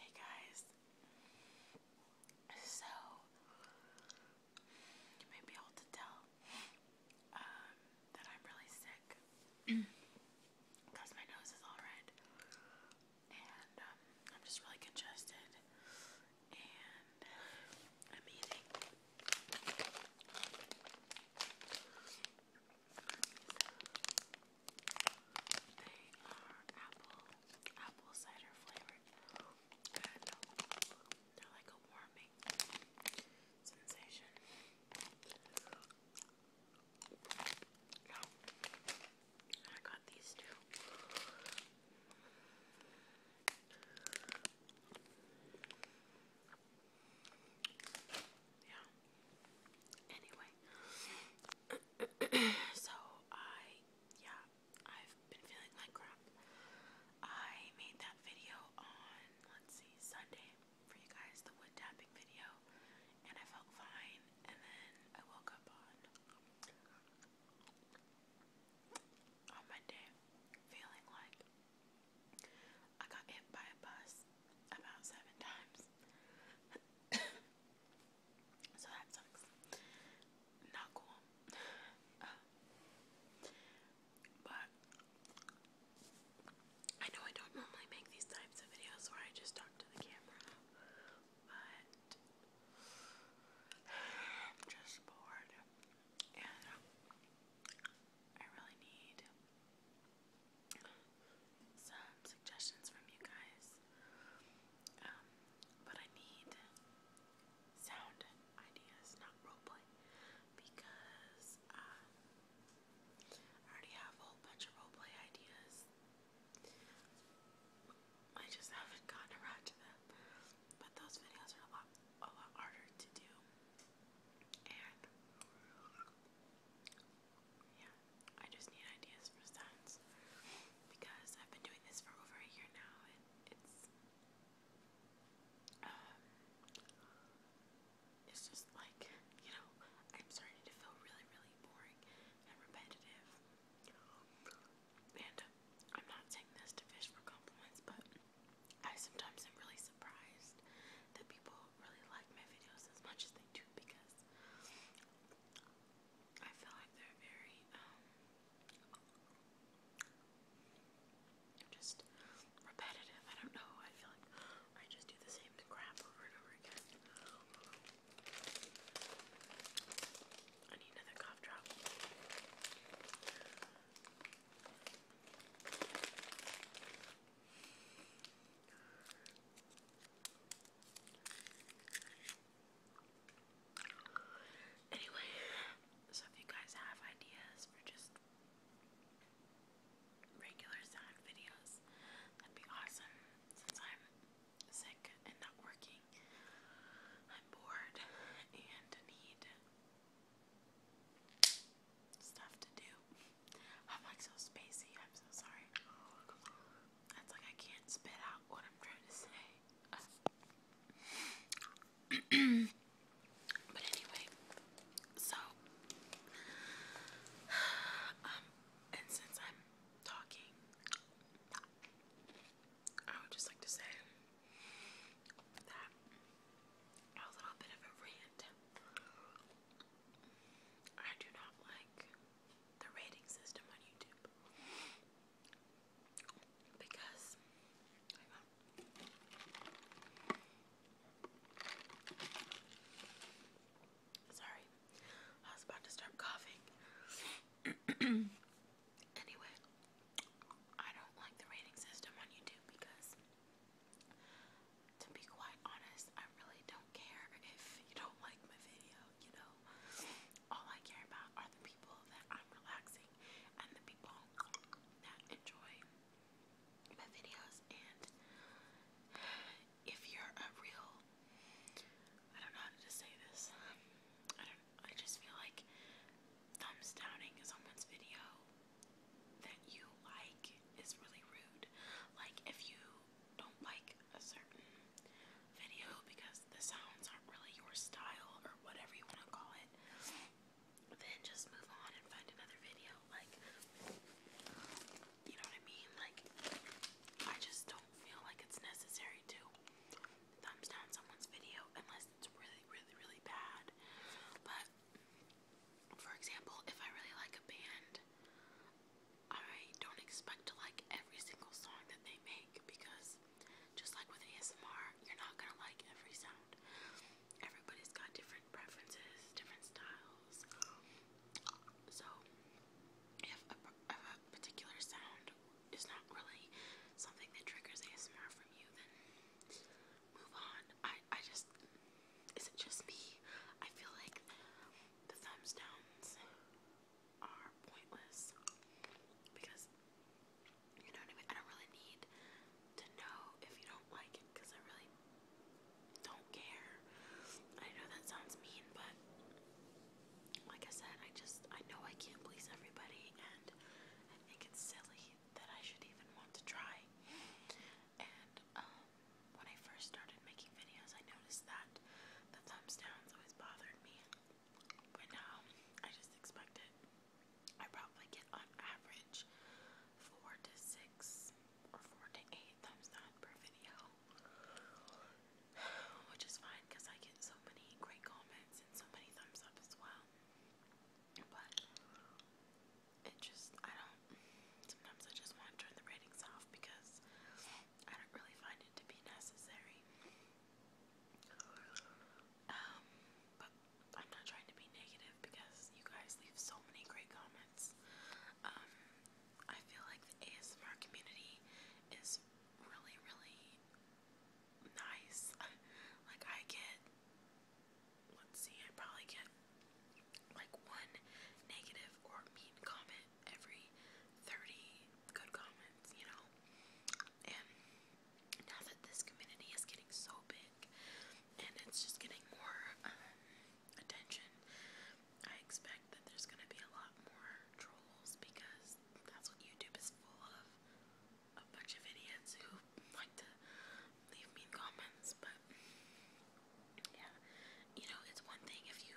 Hey guys, so you may be able to tell um, that I'm really sick because my nose is all red and um, I'm just really congested and I'm eating they are apple, apple cider flavored, and they're like a warming sensation. I got these two. Yeah. Anyway, so I, yeah, I've been feeling like crap. I made that video on, let's see, Sunday for you guys, the wood tapping video, and I felt fine, and then I woke up on, on Monday feeling like I got hit by a bus about seven times. so that sucks. Not cool. Uh, but I know I don't normally make these types of videos where I just talk to the camera, but I'm just bored and I really need some suggestions from you guys. Um, but I need sound ideas, not roleplay, because um, I already have a whole bunch of roleplay ideas. I just haven't gotten around to them. But those videos are a lot, a lot harder to do, yeah, I just need ideas for sounds because I've been doing this for over a year now and it's um, it's just like, you know, I'm starting to feel really, really boring and repetitive. And I'm not saying this to fish for compliments, but I sometimes am really surprised that people really like my videos as much as they do because I feel like they're very, um, just repetitive. I don't know. I feel like I just do the same crap over and over again. I need another cough drop. Anyway, so if you guys have ideas for just regular snack videos, that'd be awesome. Since I'm sick and not working, I'm bored and need stuff to do. I'm like so spacey. I'm so sorry. That's like I can't spit out what I'm trying to say. but anyway, so um, since I'm talking, I would just like to say that a little bit of a rant. I do not like the rating system on YouTube because Sorry, I was about to start coughing. anyway, I don't like the rating system on YouTube because to be quite honest, I really don't care if you don't like my video, you know. All I care about are the people that I'm relaxing and the people that enjoy my videos. And if you're a real, I don't know how to say this, I just feel like thumbs downing someone's video that you like is really rude. Like, if you don't like a certain video because the sounds aren't really your style or whatever you want to call it, then just move on and find another video. Like, you know what I mean? Like, I just don't feel like it's necessary to thumbs down someone's video unless it's really, really, really bad. But for example, if I really like a band, I don't expect to like every single song that they make because just like with ASMR, you're not gonna like every sound. Everybody's got different preferences, different styles. So, if a, if a particular sound is not really something that triggers ASMR from you, then move on. I, I just, is it just me? I feel like the thumbs downs are pointless because, you know what I mean? I don't really need to know if you don't like it because I really don't care. I know that sounds mean, but like I said, I just, I know I can't please everybody and I think it's silly that I should even want to try. And um, when I first started making videos, I noticed that the thumbs downs always bothered me. But now I just expect it. I probably get on average four to six or four to eight thumbs down per video, which is fine because I get so many great comments and so many thumbs up as well it just, I don't, sometimes I just want to turn the ratings off because I don't really find it to be necessary. Um, but I'm not trying to be negative because you guys leave so many great comments. Um, I feel like the ASMR community is really, really nice. like, I get let's see, I probably get like one negative or mean comment every 30 good comments, you know? And now that this community is getting so big and it's just getting more um, attention, I expect that there's gonna be a lot more trolls because that's what YouTube is full of. A bunch of idiots who like to leave mean comments, but yeah, you know, it's one thing if you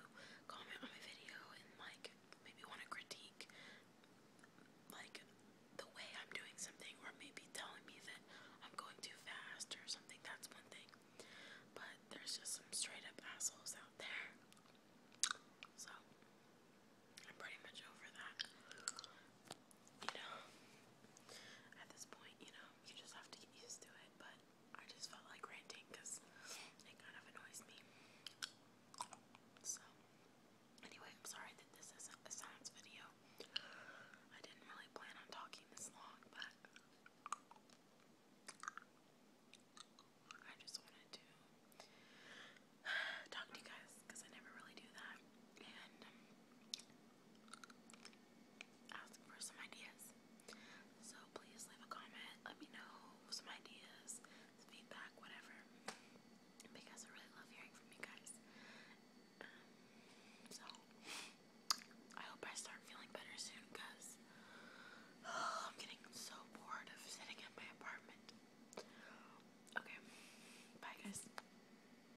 comment on my video and like maybe want to critique like the way I'm doing something, or maybe telling me that I'm going too fast or something. That's one thing, but there's just some straight up assholes out there, so I'm pretty much over that you know, at this point, you know, you just have to get used to it, but I just felt like ranting because it kind of annoys me. So, anyway, I'm sorry that this isn't a science video. I didn't really plan on talking this long, but I just wanted to talk to you guys because I never really do that. And um, ask for some ideas. So please leave a comment. Let me know some ideas, feedback, whatever. Because I really love hearing from you guys. Um, so I hope I start feeling better soon because I'm getting so bored of sitting in my apartment. Okay. Bye guys.